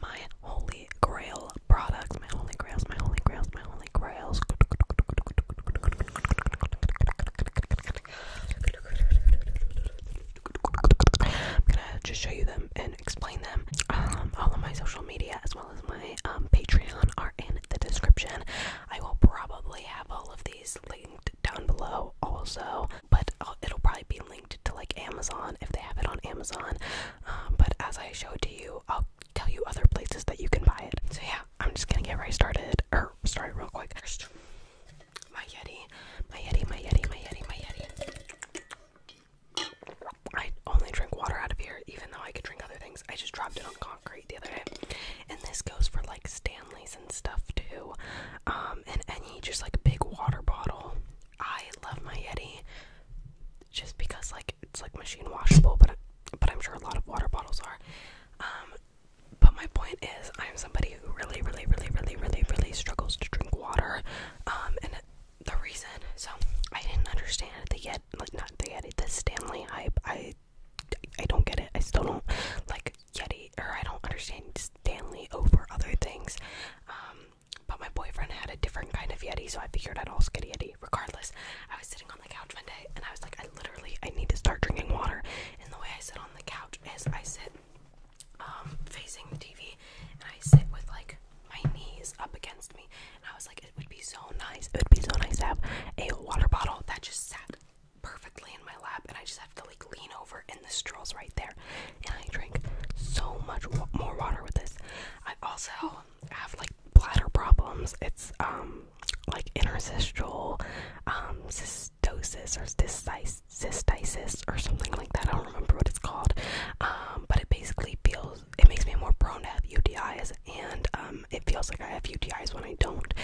my holy grail products, my holy grails, my holy grails, my holy grails. I'm gonna just show you them and explain them. Um, all of my social media as well as my um, Patreon are in the description. I will probably have all of these linked down below also, but uh, it'll probably be linked to like Amazon if they have it on Amazon. Um, but as I showed to you, I'll tell you other places that you can buy it. So yeah, I'm just gonna get right started, or start real quick. First, my Yeti, my Yeti, my Yeti, my Yeti, my Yeti. I only drink water out of here, even though I could drink other things. I just dropped it on concrete the other day. And this goes for like Stanley's and stuff too. Um, and any just like big water bottle. I love my Yeti just because like it's like machine washable, but but I'm sure a lot of water bottles are. Um, but my point is, I'm somebody who really, really, really, really, really, really struggles to drink water. Um, and the reason, so I didn't understand the yet, like not the Yeti, the Stanley hype. I, I don't get it. I still don't like Yeti, or I don't understand Stanley over other things. Um, but my boyfriend had a different kind of Yeti, so I figured I'd also get a Yeti. Regardless, I was sitting on the couch one day and I was like, I literally I need to start drinking water. And the way I sit on the couch is I sit um, facing the TV and I sit with like my knees up against me. And I was like, it would be so nice. It would be so nice to have a water bottle that just sat perfectly in my lap and I just have to like lean over and the straw's right there. And I drink so much more water with this. I also have like bladder problems. It's um like interstitial um cystosis or cystitis, cystitis or something like that. I don't remember what it's called. Um, but it basically feels it makes me more prone to have UTIs and um it feels like I have UTIs when I don't.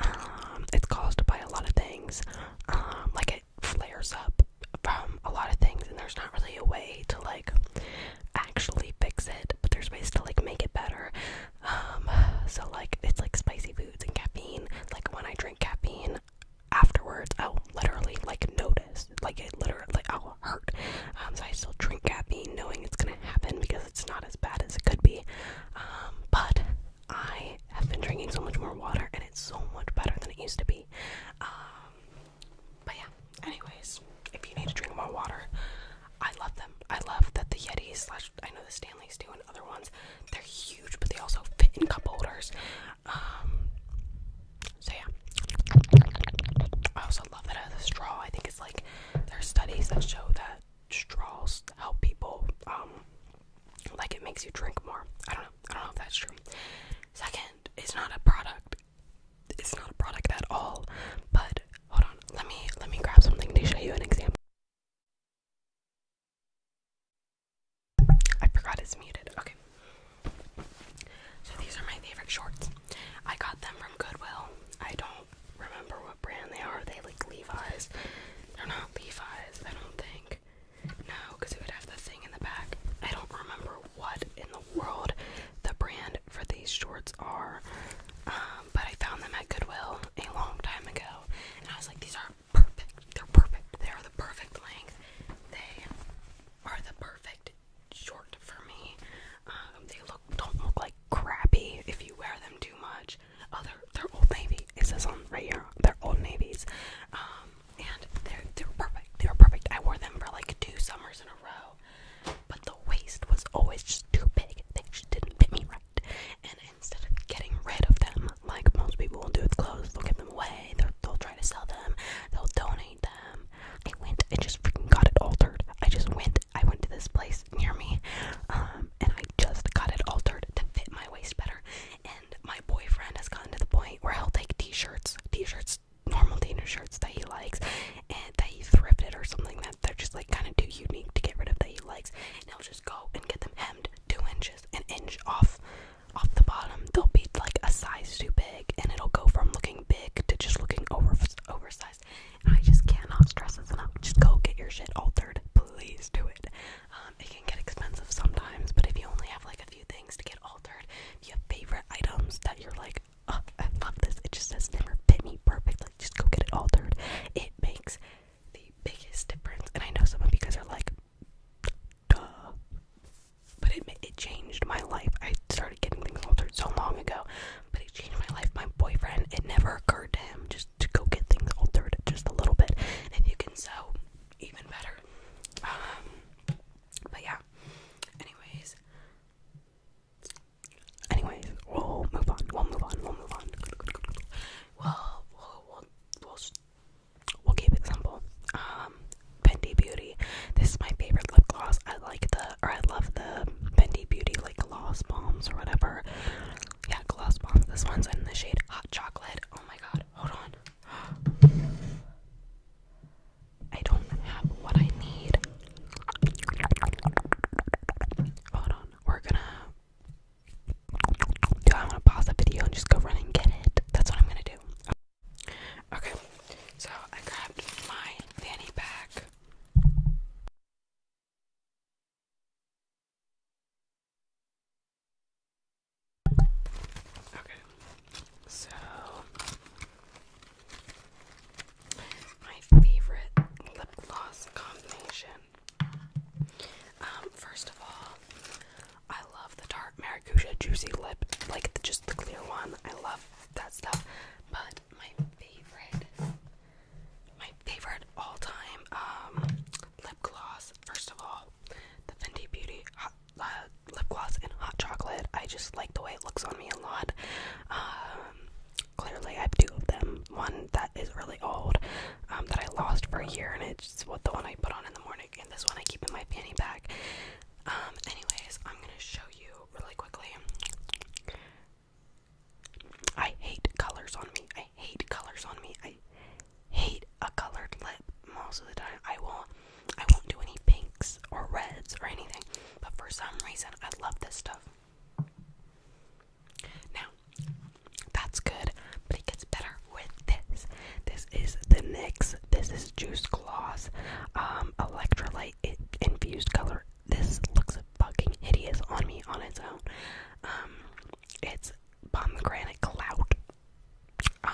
Um, it's caused by a lot of things. Um, like it flares up from a lot of things and there's not really a way to like actually fix it but there's ways to like make it better um, so like it's like spicy foods and caffeine like when i drink caffeine afterwards i'll literally like notice like it literally like i'll hurt um, so i still drink caffeine knowing it's gonna happen because it's not as bad as it could be um, but i have been drinking so much more water and it's so much better than it used to be but yeah, anyways, if you need to drink more water, I love them. I love that the Yetis slash I know the Stanleys do and other ones. They're huge, but they also fit in cup holders. Um, so yeah, I also love that as a straw. I think it's like there are studies that show that straws help people. Um, like it makes you drink more. I don't know. I don't know if that's true. Second, it's not a product it's not a product at all. But hold on, let me let me grab something to show you an example. I forgot it's muted. Okay. So these are my favorite shorts. I got them from Goodwill. I don't remember what brand they are. they like Levi's? They're not Levi's, I don't think. No, because it would have the thing in the back. I don't remember what in the world the brand for these shorts are. Um, but I found them at Goodwill a long time ago, and I was like, these are perfect. They're perfect. They are the perfect length. They are the perfect short for me. Um, they look don't look like crappy if you wear them too much. Oh, they're, Old Navy. It says on right here. They're Old Navies. Um, and they're they're perfect. They were perfect. I wore them for like two summers in a row, but the waist was always just too big. They just didn't fit me right. And instead of getting rid of them, like most people will do with clothes, they'll give them away. They'll, they'll try to sell them. They'll donate them. I went and just freaking got it altered. I just went. I went to this place near me, um, and I just got it altered to fit my waist better. And my boyfriend has gotten to the point where he'll take T-shirts, T-shirts normal deaner shirts that he likes and that he thrifted or something that they're just like kind of too unique to get rid of that he likes and he'll just go and get them hemmed two inches an inch off off the bottom they'll be like a size too big and it'll go from looking big to just looking over oversized i just cannot stress this enough just go get your shit altered please do it um, it can get expensive sometimes but if you only have like a few things to get altered do favorite items that you're like, oh, I love this? It just has never fit me perfect. Like, just go get it altered. It makes the biggest difference. And I know some of you guys are like, duh. But it, it changed my life. I started getting things altered so long ago, but it changed my life. My boyfriend, it never occurred to him just to go get things altered just a little bit. And if you can sew, even better. Um, but yeah. Anyways. Anyways, we'll move on. We'll move on. We'll move on. Well, we'll keep it simple. Um, Fendi Beauty. This is my favorite lip gloss. I like the or I love the Fendi Beauty like gloss bombs or whatever. Yeah, gloss bombs. This one's in the shade Hot Chocolate. Oh my god. Hold on. I don't have what I need. Hold on, we're gonna. Do I want to pause the video and just go run and get it? That's what I'm gonna do. Okay, so I grabbed my fanny pack. Okay, so, my favorite lip gloss combination. Um, first of all, I love the dark Maracuja Juicy Lip, like just the clear one. I love that stuff. But my favorite, my favorite all time um, lip gloss, first of all, the Fenty Beauty uh, lip gloss and hot chocolate. I just like the way it looks on me a lot. Um, clearly, I have two of them. One that is really old um, that I lost for a year, and it's what the one I put on in the morning, and this one I keep in my fanny pack. Um, anyways, I'm gonna show you really quickly. I hate colors on me. I hate colors on me. I hate a colored lip most of the time. I will I won't do any pinks or reds or anything, but for some reason, I love this stuff. Now, that's good, but it gets better with this. This is the NYX. This is Juice Gloss um, Electrolyte Infused Color. This looks fucking hideous on me on its own. Um, it's pomegranate clout. Um,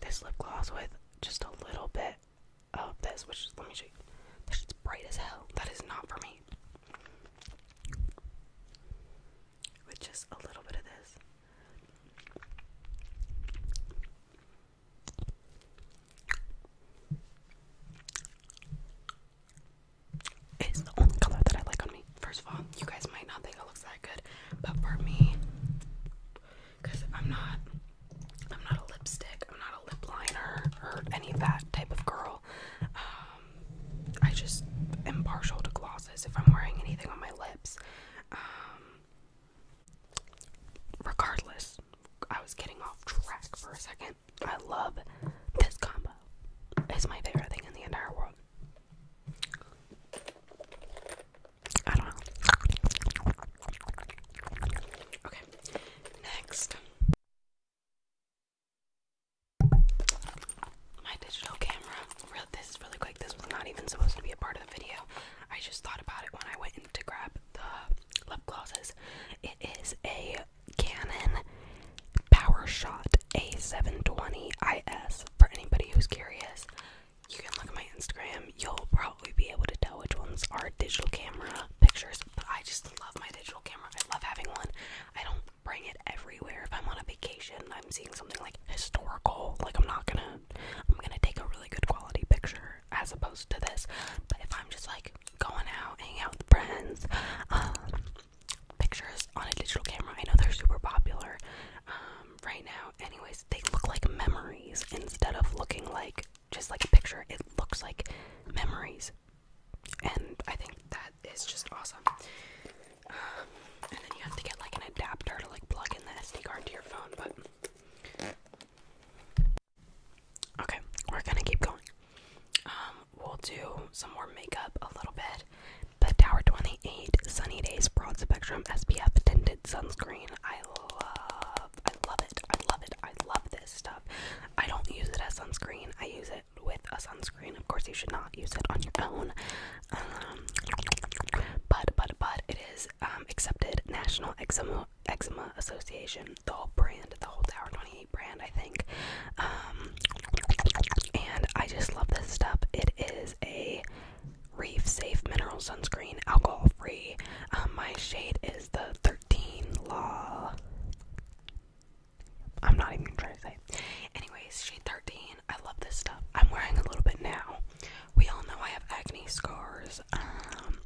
this lip gloss with just a little bit of this, which is, let me show you. This is bright as hell. That is not for me. With just a little bit of this. It's the only color that I like on me. First of all, you guys might not think it looks like that But for me, because I'm not I'm not a lipstick, I'm not a lip liner or any of that type of girl. Um, I just am partial to glosses if I'm wearing anything on my lips. Um, regardless, I was getting off track for a second. I love this combo. It's my favorite thing in the entire world. Okay, next. My digital camera. This is really quick. This was not even supposed to be a part of the video. I just thought about it when I went in to grab the lip glosses. It is a Canon PowerShot A720IS for anybody who's curious you can look at my Instagram. You'll probably be able to tell which ones are digital camera pictures. But I just love my digital camera. I love having one. I don't bring it everywhere. If I'm on a vacation, I'm seeing something like historical. Like I'm not gonna, I'm gonna take a really good quality picture as opposed to this. But if I'm just like going out, hanging out with friends, um, pictures on a digital camera. I know they're super popular. Um, um, right now. Anyways, they look like memories instead of looking like just like a picture. It looks like memories, and I think that is just awesome. Um, and then you have to get like an adapter to like plug in the SD card to your phone, but. Okay, we're gonna keep going. Um, we'll do some more makeup a little bit. The Tower 28 Sunny Days Broad Spectrum SPF Tinted Sunscreen. I love, I love it, I love it, I love this stuff. I don't use it as sunscreen, I use it with a sunscreen. Of course, you should not use it on your own. Um, but, but, but, it is um, accepted National Eczema, Association, the whole brand, the whole Tower 28 brand, I think. Um, and I just love this stuff. It is a Reef Safe Mineral Sunscreen, alcohol free. Um, my shade is the 13 Law. I'm not even trying to say. Anyways, shade 13. I love this stuff. I'm wearing a little bit now. We all know I have acne scars. Um,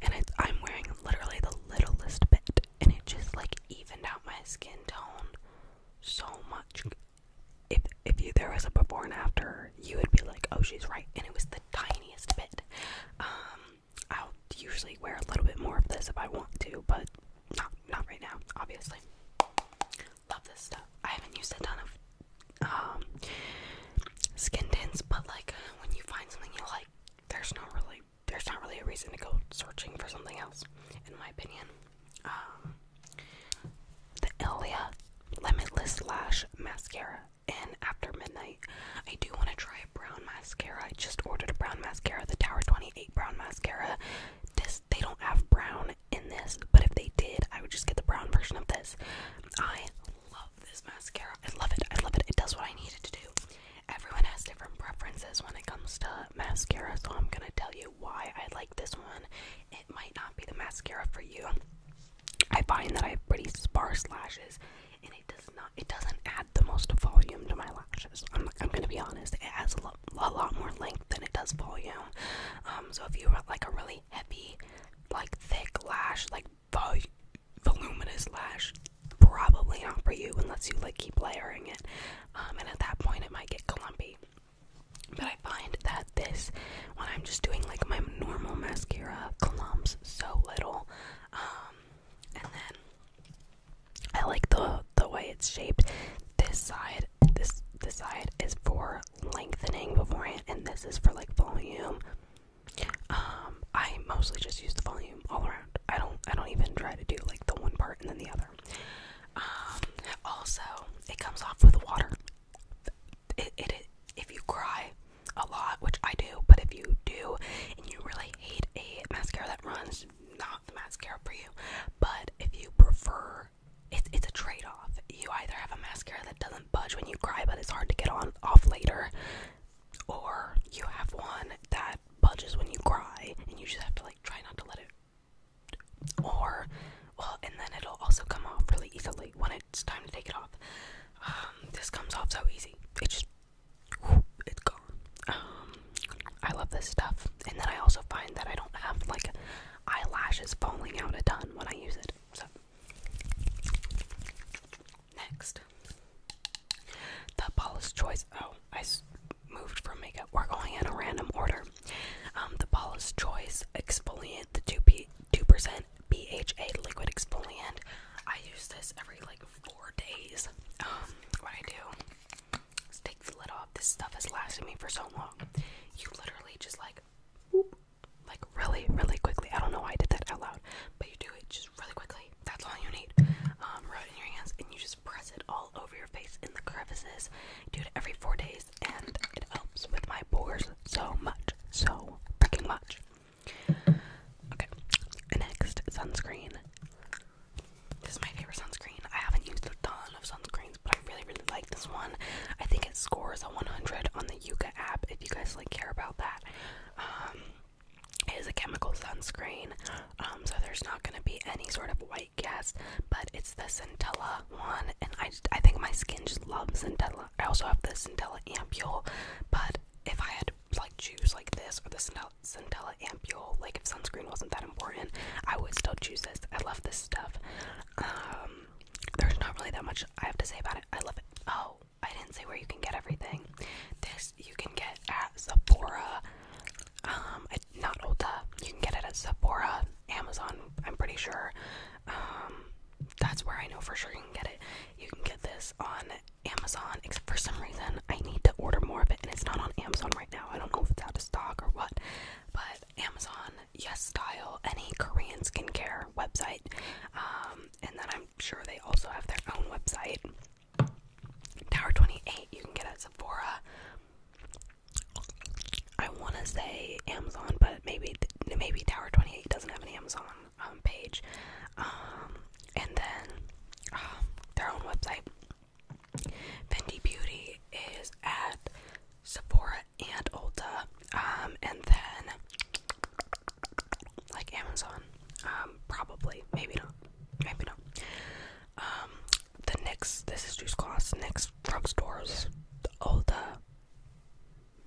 and I'm wearing literally the littlest bit. And it just like evened out my skin tone so much if if you there was a before and after, you would be like, oh, she's right, and it was the tiniest bit. Um, I'll usually wear a little bit more of this if I want to, but not not right now, obviously. Love this stuff. I haven't used a ton of um, skin tints, but like when you find something you like, there's not really there's not really a reason to go searching for something else, in my opinion the Ilia Limitless Lash Mascara in After Midnight. I do want to try a brown mascara. I just ordered a brown mascara, the Tower 28 brown mascara. This they don't have brown in this, but if they did, I would just get the brown version of this. I love this mascara. I love it. I love it. It does what I need it to do. Everyone has different preferences when it comes to mascara, so I'm gonna tell you why I like this one it might not be the mascara for you. I find that I have pretty sparse lashes, and it does not. It doesn't add the most volume to my lashes. I'm I'm gonna be honest. It has a, lot more length than it does volume. Um, so if you want like a really heavy, like thick lash, like vol voluminous lash, probably not for you unless you like keep layering it. Um, and at that point, it might get clumpy. But I find that this, when I'm just doing like my normal mascara, clumps so little. Um, and then I like the the way it's shaped. This side, this this side is for lengthening before, and this is for like volume. Um, I mostly just use the volume all around. I don't I don't even try to do like the one part and then the other. Um, also, it comes off with water. it, it if you cry a lot, which I do, but if you do and you really hate a mascara that runs, not the mascara for you. But if you prefer, it's it's a trade off. You either have a mascara that doesn't budge when you cry, but it's hard to get on off later, or you have one that budges when you cry, and you just have to like try not to let it or well and then it'll also come off really easily when it's time to take it off um, this comes off so easy it just it's gone um, i love this stuff and then i also find that i don't have like eyelashes falling out a ton when i use it so next the paula's choice oh i moved from makeup we're going in a random order um, the Paula's Choice exfoliant, the 2% BHA liquid exfoliant. I use this every like four days. Um, what I do is take the lid off. This stuff has lasted me for so long. You literally just like, whoop, like really, really quickly. I don't know why I did that out loud, but you do it just really quickly. That's all you need. Um, rub it in your hands and you just press it all over your face in the crevices. Do it every four days and it helps with my pores so much, so freaking much. Okay, next sunscreen. This is my favorite sunscreen. I haven't used a ton of sunscreens, but I really, really like this one. I think it scores a 100 on the Yuka app. If you guys like care about that, um, it is a chemical sunscreen, um, so there's not going to be any sort of white cast, but it's the Centella one, and I I think my skin just loves Centella. I also have the Centella Ampule, but if I had to, like choose like this or the Centella, Centella Ampule, like if sunscreen wasn't that important, I would still choose this. I love this stuff. Um, there's not really that much I have to say about it. I love it. Oh, I didn't say where you can get everything. This you can get at Sephora. Um, I not Ulta. Uh, you can get it at Sephora, Amazon, I'm pretty sure. Um, that's where I know for sure you can get it. You can get this on Amazon, except for some reason I need to order more of it, and it's not on Amazon right now. I don't know if it's out of stock or what, but Amazon, Yes Style, any Korean skincare website, um, and then I'm sure they also have their own website. Tower 28, you can get at Sephora, I want to say Amazon, but maybe maybe Tower 28 doesn't have an Amazon um, page. Um, and then um, their own website. Fendi Beauty is at Sephora and Ulta. and then like Amazon. probably. Maybe not. Maybe not. the next, this is Juice Gloss, NYX drugstores, Ulta, oh,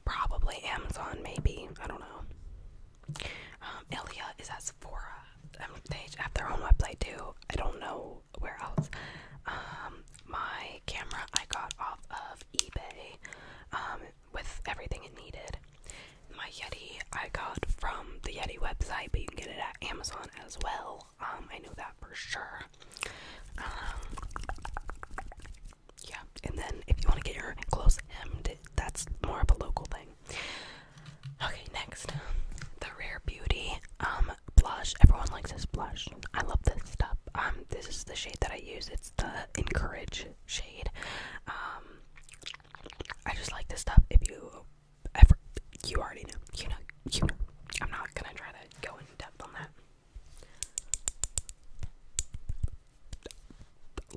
probably Amazon, maybe. I don't know. Um, Elia is at Sephora. Um, they have their own website too. I don't know where else. Um, my camera I got off of eBay with everything it needed. My Yeti I got from the Yeti website, but you can get it at Amazon as well. Um, I know that for sure. Um, yeah, and then if you want to get your clothes hemmed, that's more of a local thing. Okay, next, the Rare Beauty um, blush. Everyone likes this blush. I love this stuff. this is the shade that I use. It's the Encourage shade. I just like this stuff. If you ever, you already know, you know, you know. I'm not gonna try to go in depth on that.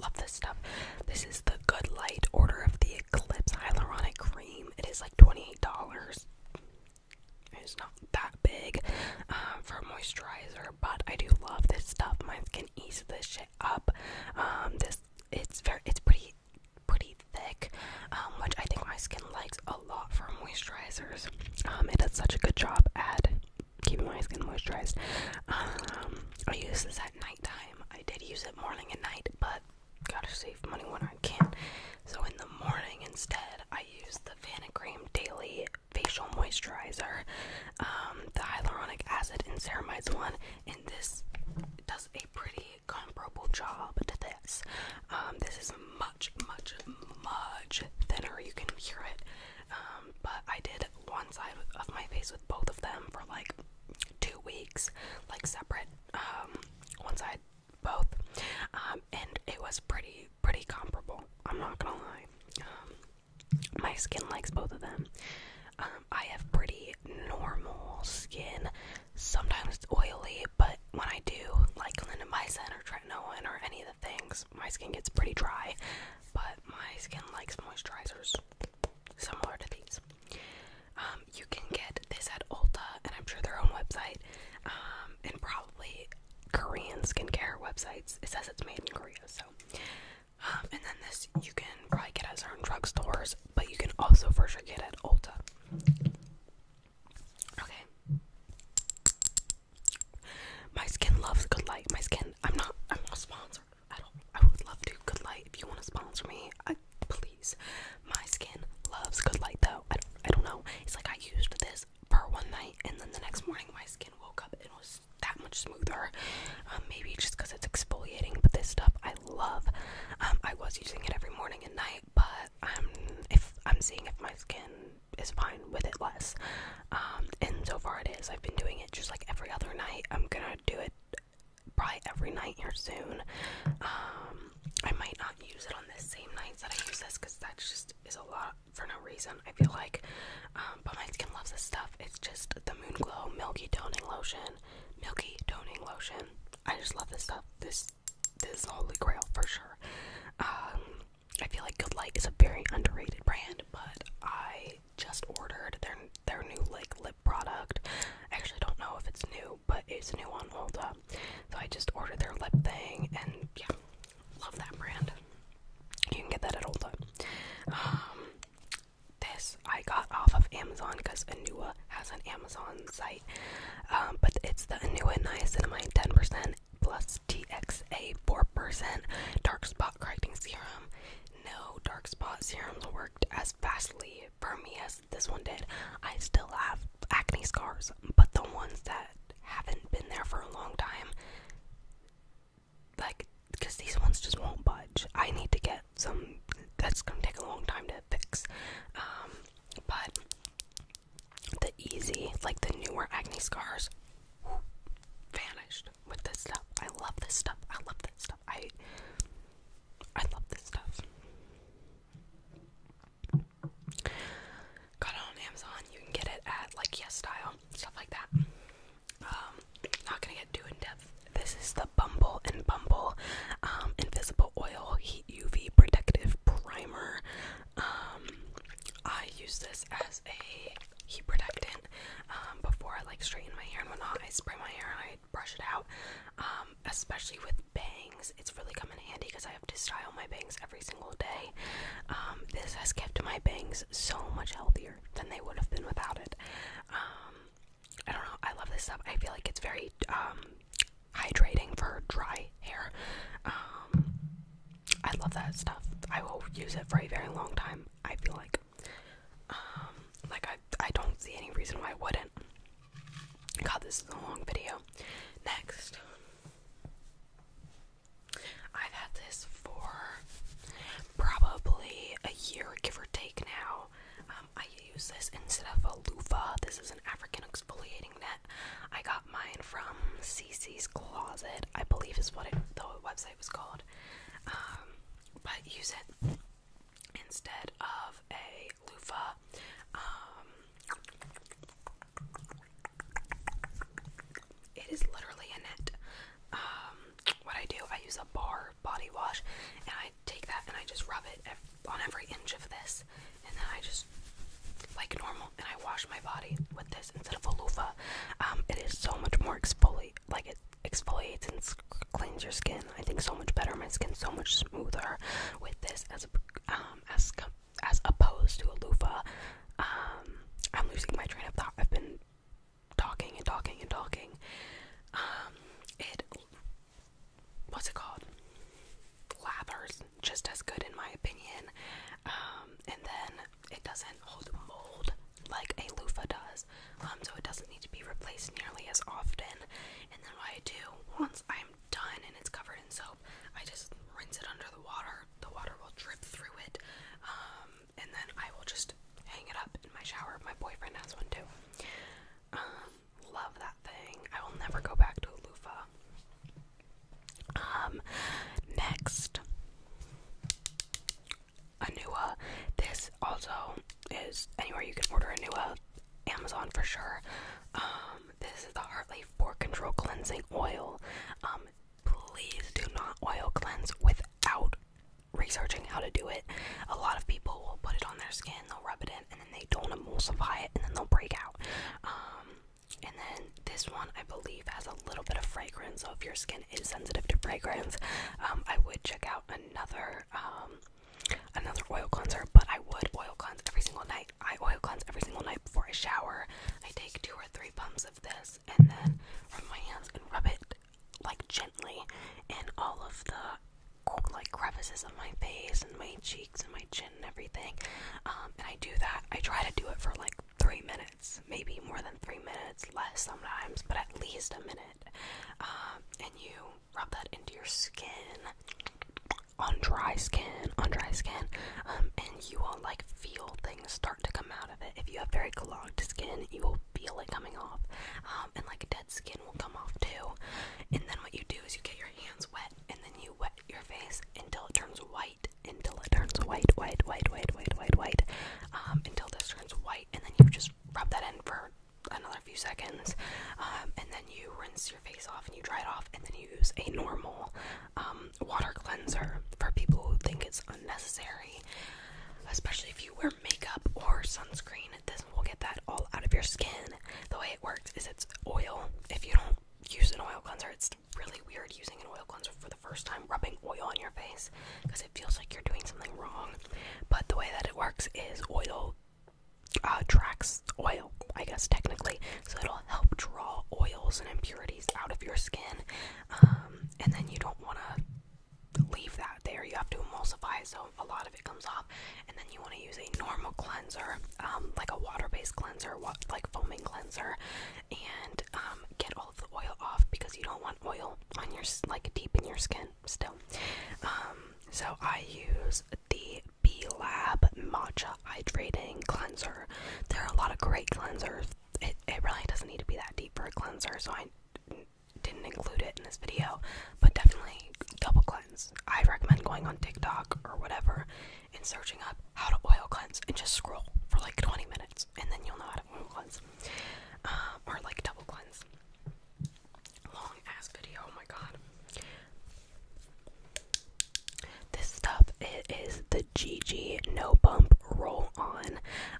Love this stuff. This is the Good Light Order of the Eclipse Hyaluronic Cream. It is like $28. It's not that big um, for moisturizer, but I do love this stuff. My skin eats this shit up. Um, this it's very it's pretty pretty thick, um, which I think my skin likes lot for moisturizers. Um, it does such a good job at keeping my skin moisturized. Um, I use this at nighttime. I did use it morning and night, but gotta save money when I can. So in the morning instead, I use the Vanicream Daily Facial Moisturizer, um, the hyaluronic acid and ceramides one, and this does a pretty comparable job to this. this is much, much, much thinner. You can hear it. Um, but I did one side of my face with both of them for like two weeks, like separate. Um, one side, both. Um, and it was pretty, pretty comparable. I'm not gonna lie. my skin likes both of them. I have pretty normal skin. Sometimes it's oily, but when I do, like clindamycin or tretinoin or any of the things, my skin gets pretty dry. But my skin likes moisturizers similar to these. Um, you can get this at Ulta, and I'm sure their own website, um, and probably Korean skincare websites. It says it's made in Korea, so. Um, and then this you can probably get at certain drugstores, but you can also for sure get at Ulta. Okay. My skin loves good light. My skin. I'm not. I'm not sponsored at all. I would love to. Good light. If you want to sponsor me, please. My skin loves good light though. I don't, I don't know. It's like I used this for one night, and then the next morning my skin woke up and was that much smoother. Um, maybe just because it's exfoliating, but this stuff I love. Um, I was using it every morning and night but I'm if I'm seeing if my skin is fine with it less. Um, and so far it is. I've been doing it just like every other night. I'm gonna do it probably every night here soon. Um, I might not use it on the same nights that I use this because that just is a lot for no reason. I feel like, um, but my skin loves this stuff. It's just the Moon Glow Milky Toning Lotion, Milky Toning Lotion. I just love this stuff. This this holy grail for sure. Um, I feel like Good Light is a very underrated brand, but I just ordered their their new like lip product. I actually don't know if it's new, but it's new on Ulta. So I just ordered their lip thing, and yeah, love that brand. You can get that at Ulta. Um, this I got off of Amazon because Anua has an Amazon site. Um, but it's the Anua Niacinamide 10% plus TXA 4% dark spot correcting serum. No dark spot serums worked as fastly for me as this one did. I still have acne scars, but the ones that haven't been there for a long time, like, because these ones just won't budge. I need to get some, that's gonna take a long time to fix. Um, but the easy, like the newer acne scars, vanished with this stuff. I love this stuff. I love this stuff. I I love this stuff. Got it on Amazon. You can get it at like Yes stuff like that. Um, not gonna get too in depth. This is the Bumble and Bumble um, Invisible Oil UV Protective Primer. Um, I use this as a heat protectant um, before I like straighten my hair and whatnot. I spray my hair and I brush it out, um, especially with bangs. It's really come in handy because I have to style my bangs every single day. this has kept my bangs so much healthier than they would have been without it. I don't know. I love this stuff. I feel like it's very hydrating for dry hair. Um, I love that stuff. I will use it for a very long time. I feel like, um, like I I don't see any reason why I wouldn't. God, this is a long video. Next, I've had this for probably a year, give or take now. Um, I use this instead of a loofah. This is an African exfoliating net. I got mine from CC's Closet, I believe is what the website was called. Um, but use it instead of a loofah. Um, it is literally a net. Um, what I do, I use a bar body wash and I take that and I just rub it on every inch of this, and then I just like normal, and I wash my body with this instead of a loofah. Um, it is so much more exfoliate, like it exfoliates and cleans your skin. I think so much better. My skin so much smoother with this as um, as as opposed to a loofah. Um, I'm losing my train of thought. I've been talking and talking and talking. Um, it what's it called? Lathers, just as good in my opinion. Um, and then it doesn't hold mold like a loofah does, um, so it doesn't need to be replaced nearly as often. And then what I do once I'm done and it's covered in soap, I just rinse it under the water. The water will drip through it, um, and then I will just hang it up in my shower. My boyfriend has one too. Love that thing. I will never go back to a loofah. Um, next, Anua. This also is anywhere you can order Anua, Amazon for sure. Um, this is the Heartleaf Pore Control Cleansing Oil. Um, please do not oil cleanse without researching how to do it. A lot of people will put it on their skin, they'll rub it in, and then they don't emulsify it, and then they'll break out. Um, and then this one, I believe, has a little bit of fragrance. So if your skin is sensitive to fragrance, um, I would check out another um, another oil cleanser. But I would oil cleanse every single night. I oil cleanse every single night before I shower. I take two or three pumps of this, and then rub my hands and rub it like gently in all of the like crevices of my face and my cheeks and my chin and everything. Um, and I do that. I try to do it for like three minutes, maybe more than three minutes, less sometimes, but at least a minute. Um, and you rub that into your skin on dry skin, on dry skin, um, and you will like feel things start to come out of it. If you have very clogged skin, you will feel it coming off, and like dead skin will come off too. And then what you do is you get your hands wet, and then you wet your face until it turns white, until it turns white, white, white, white, white, white, white, um, until this turns white, and then you just rub that in for another few seconds, um, and then you rinse your face off and you dry it off, and then you use a normal um, water cleanser for people who think it's unnecessary, especially if you wear makeup or sunscreen. This will get that all out of your skin. The way it works is it's oil. If you don't do use an oil cleanser. It's really weird using an oil cleanser for the first time, rubbing oil on your face because it feels like you're doing something wrong. But the way that it works is oil uh, tracks oil, I guess, technically. So it'll help draw oils and impurities out of your skin. Um, and then you don't want to leave that there. You have to emulsify, so a lot of it comes off and then you want to use a normal cleanser, um, like a water-based cleanser, wa like foaming cleanser, and um, get all of the oil off because you don't want oil on your like deep in your skin still. Um, so I use the B Lab Matcha Hydrating Cleanser. There are a lot of great cleansers. It, it really doesn't need to be that deep for a cleanser, so I didn't include it in this video, but definitely double cleanse. I recommend going on TikTok or whatever and searching up how to oil cleanse and just scroll for like 20 minutes and then you'll know how to oil cleanse uh, or like double cleanse. Long ass video, oh my god. This stuff it is the Gigi No Bump Roll On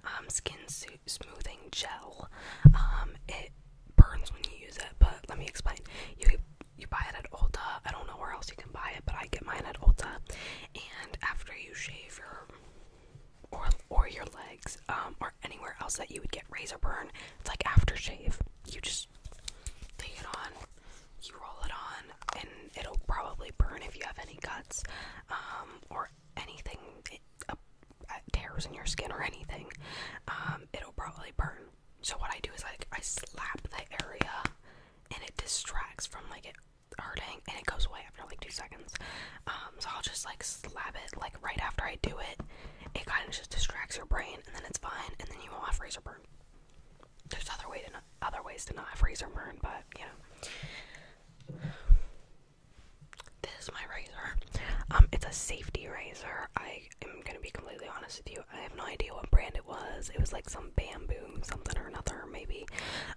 um, Skin Smoothing Gel. Um, it burns when you use it, but let me explain you buy it at Ulta. I don't know where else you can buy it, but I get mine at Ulta. And after you shave your or or your legs, um, or anywhere else that you would get razor burn, it's like aftershave. You just take it on, you roll it on, and it'll probably burn if you have any cuts, um, or anything it, uh, tears in your skin or anything. Um, it'll probably burn. So what I do is like I slap the area and it distracts from like it hurting and it goes away after like two seconds. Um, so I'll just like slap it like right after I do it. It kind of just distracts your brain and then it's fine and then you won't have razor burn. There's other way to other ways to not have razor burn, but you know. This is my razor. Um, it's a safety razor. I am gonna be completely honest with you. I have no idea what brand it was. It was like some bamboo something or another, maybe.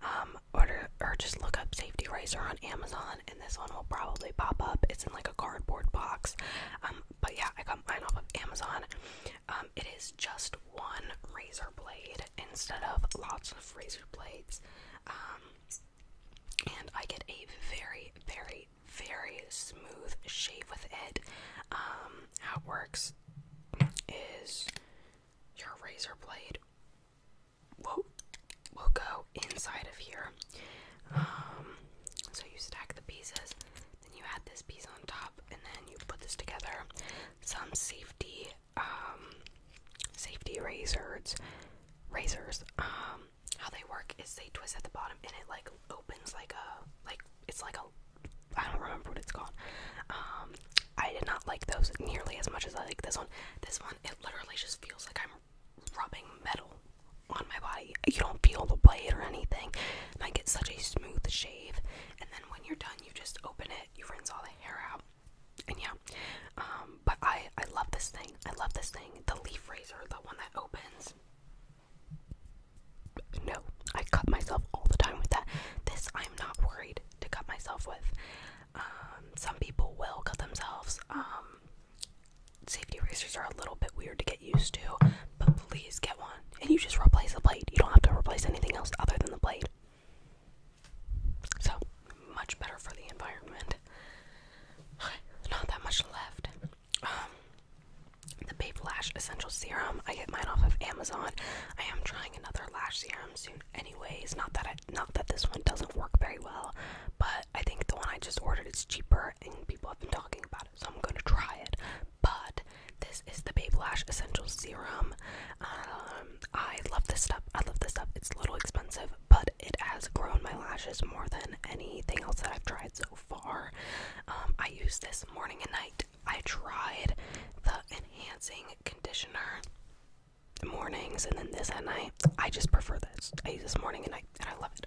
Um, order or just look up safety razor on Amazon, and this one will probably pop up. It's in like a cardboard box. Um, but yeah, I got mine off of Amazon. Um, it is just one razor blade instead of lots of razor blades. Um, and I get a very, very, very smooth shave with it. Um, how it works is your razor blade will, will go inside of here. Um, so you stack the pieces, then you add this piece on top, and then you put this together. Some safety, um, safety razors, razors. how they work is they twist at the bottom, and it like opens like a like it's like a I don't remember what it's called. Um, I did not like those nearly as much as I like this one. This one, it literally just feels like I'm rubbing metal on my body. You don't feel the blade or anything, and I get such a smooth shave. And then when you're done, you just open it, you rinse all the hair out, and yeah. Um, but I I love this thing. I love this thing. The leaf razor, the one that opens. No, I cut myself all the time with that. This I'm not worried to cut myself with. Um, some people will cut themselves. Um, safety razors are a little bit weird to get used to, but please get one. And you just replace the blade. You don't have to replace anything else other than the blade. So, much better for the environment. Not that much left. Um, the Babylash Essential Serum. I get mine off of Amazon. I am trying another lash serum soon anyways. Not that not that this one doesn't work very well, but I think the one I just ordered is cheaper and people have been talking about it, so I'm gonna try it. But this is the Babylash Essential Serum. Um, I love this stuff. I love this stuff. It's a little expensive, but it has grown my lashes more than anything else that I've tried so far. Um, I use this morning and night. I tried the enhancing conditioner mornings and then this at night. I just prefer this. I use this morning and night and I love it.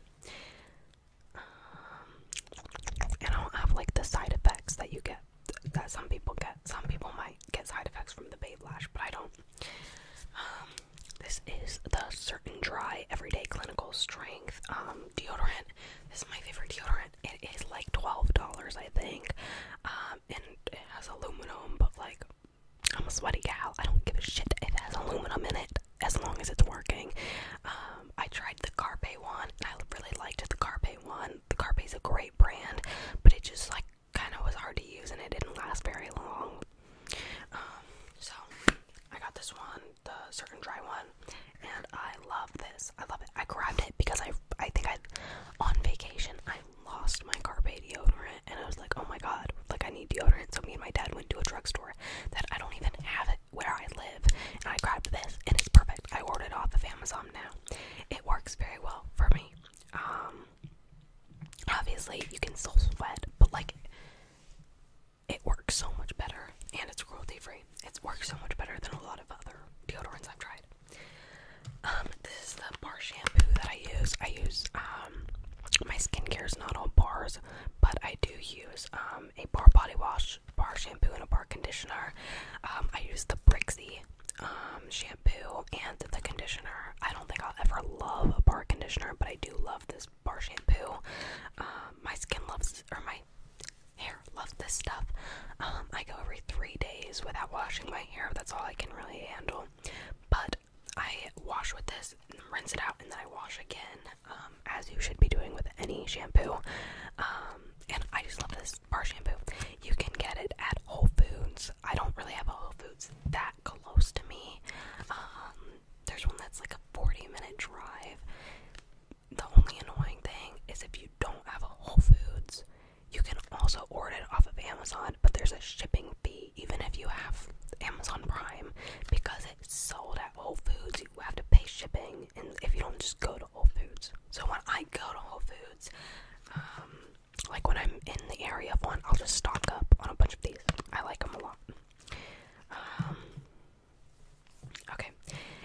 Um, and I don't have like the side effects that you get that some people get. Some people might get side effects from the babe lash, but I don't. Um, this is the Certain Dry Everyday Clinical Strength deodorant. This is my favorite deodorant. It is like twelve dollars, I think. Um, and it has aluminum, but like, I'm a sweaty gal. I don't give a shit it has aluminum in it, as long as it's working. Um, I tried the Carpe one, I really liked the Carpe one. The Carpe is a great brand, but it just like kind of was hard to use, and it didn't last very long. Um, so I got this one the certain dry one, and I love this. I love it. I grabbed it because I I think I on vacation I lost my Carpe deodorant, and I was like, oh my god, like I need deodorant. So me and my dad went to a drugstore that I don't even have it where I live, and I grabbed this, and it's perfect. I ordered off of Amazon now. It works very well for me. Um, obviously you can still sweat, but like it works so much better and it's cruelty free. It works so much better than a lot of other deodorants I've tried. Um, this is the bar shampoo that I use. I use um, my skincare is not all bars, but I do use um, a bar body wash, bar shampoo, and a bar conditioner. I use the Brixie shampoo and the conditioner. I don't think I'll ever love a bar conditioner, but I do love this bar shampoo. my skin loves or my hair. Love this stuff. Um, I go every three days without washing my hair. That's all I can really handle. But I wash with this, rinse it out, and then I wash again, um, as you should be doing with any shampoo. Um, and I just love this bar shampoo. You can get it at Whole Foods. I don't really have a Whole Foods that close to me. there's one that's like a 40 minute drive the only annoying thing is if you don't have a Whole Foods, you can also order it off of Amazon, but there's a shipping fee even if you have Amazon Prime because it's sold at Whole Foods. You have to pay shipping, and if you don't just go to Whole Foods. So when I go to Whole Foods, um, like when I'm in the area of one, I'll just stock up on a bunch of these. I like them a lot. Um, Okay,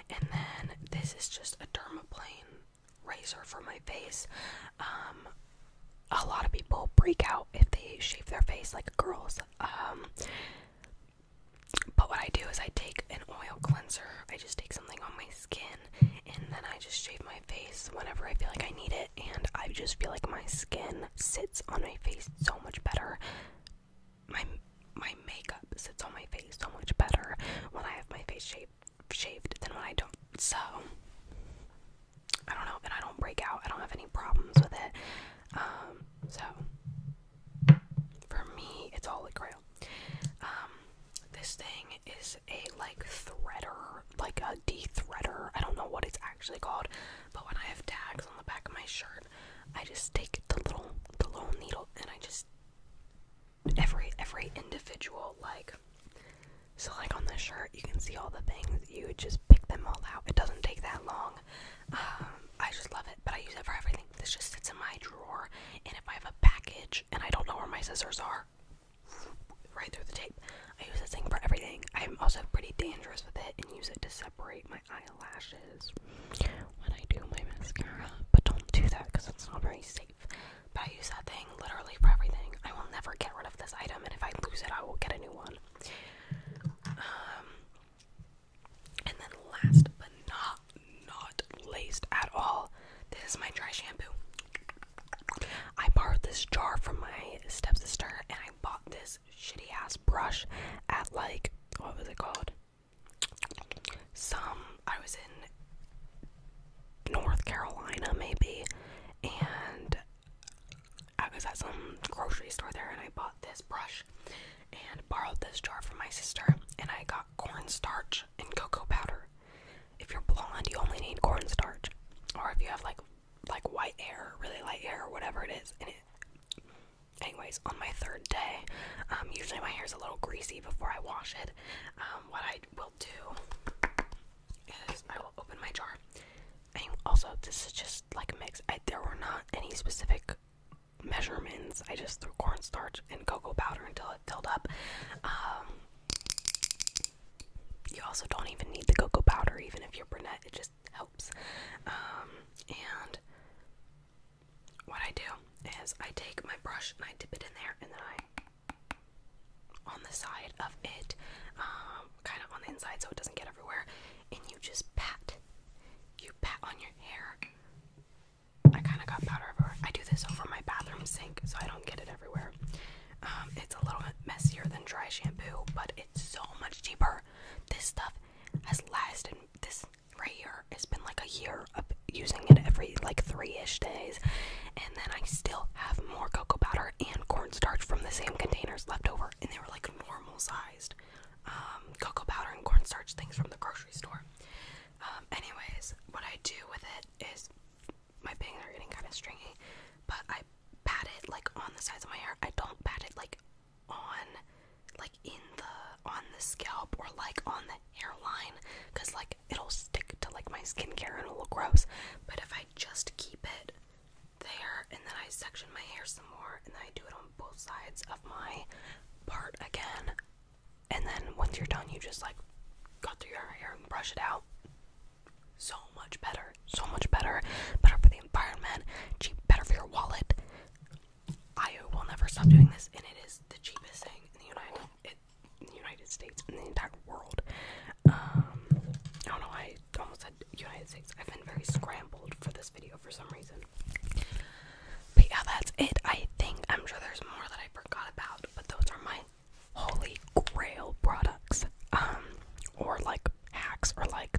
and then this is just a dermaplane razor for my face. Um, a lot of people break out if they shave their face, like girls. Um, but what I do is I take an oil cleanser. I just take something on my skin, and then I just shave my face whenever I feel like I need it. And I just feel like my skin sits on my face so much better my my makeup sits on my face so much better when I have my face shaved shaved than when I don't. So I don't know, and I don't break out. I don't have any problems with it. Um, so for me, it's holy grail. Um, this thing is a like threader, like a de-threader. I don't know what it's actually called, but when I have tags on the back of my shirt, I just take the little the little needle and I just every every individual like so like on this shirt you can see all the things you would just pick them all out. It doesn't take that long. Um, I just love it, but I use it for everything. This just sits in my drawer, and if I have a package and I don't know where my scissors are, right through the tape. I use this thing for everything. I'm also pretty dangerous with it and use it to separate my my eyelashes when I do my mascara. But don't do that because it's not very safe. But I use that thing literally for everything. I will never get rid of this item, and if I lose it, I will get a new one. Um, and then last but not not laced at all, this is my dry shampoo. I borrowed this jar from my stepsister, and I bought this shitty ass brush at like what was it called? some I was in North Carolina maybe and I was at some grocery store there and I bought this brush and borrowed this jar from my sister and I got cornstarch and cocoa powder. If you're blonde you only need cornstarch. Or if you have like like white hair, really light hair or whatever it is, and it anyways, on my third day, um, usually my hair is a little greasy before I wash it. Um, what I will do is I will open my jar. And also, this is just like a mix. there were not any specific measurements. I just threw cornstarch and cocoa powder until it filled up. Um, you also don't even need the cocoa powder, even if you're brunette. It just helps. and what I do is I take my brush and I dip it in there, and then I, on the side of it, um, kind of on the inside so it doesn't get everywhere, and you just pat. You pat on your hair. I kind of got powder everywhere. I do this over my bathroom sink so I don't get it everywhere. Um, it's a little bit messier than dry shampoo, but it's so much cheaper. This stuff has lasted. This right here. It's been like a year of using it every like three ish days, and then I still have more cocoa powder and cornstarch from the same containers left over, and they were like normal sized um, cocoa powder and cornstarch things from the grocery store. Um, anyways, what I do with it is my bangs are getting kind of stringy, but I pat it like on the sides of my hair. I don't pat it like on like in the on the scalp or like on the hairline because like it'll stick to like my skincare and it'll look gross but if I just keep it there and then I section my hair some more and then I do it on both sides of my part again and then once you're done you just like cut through your hair and brush it out so much better so much better better for the environment cheap better for your wallet I will never stop doing this, and it is the cheapest thing in the United in the United States in the entire world. Um, I don't know. I almost said United States. I've been very scrambled for this video for some reason. But yeah, that's it. I think I'm sure there's more that I forgot about, but those are my holy grail products, um, or like hacks, or like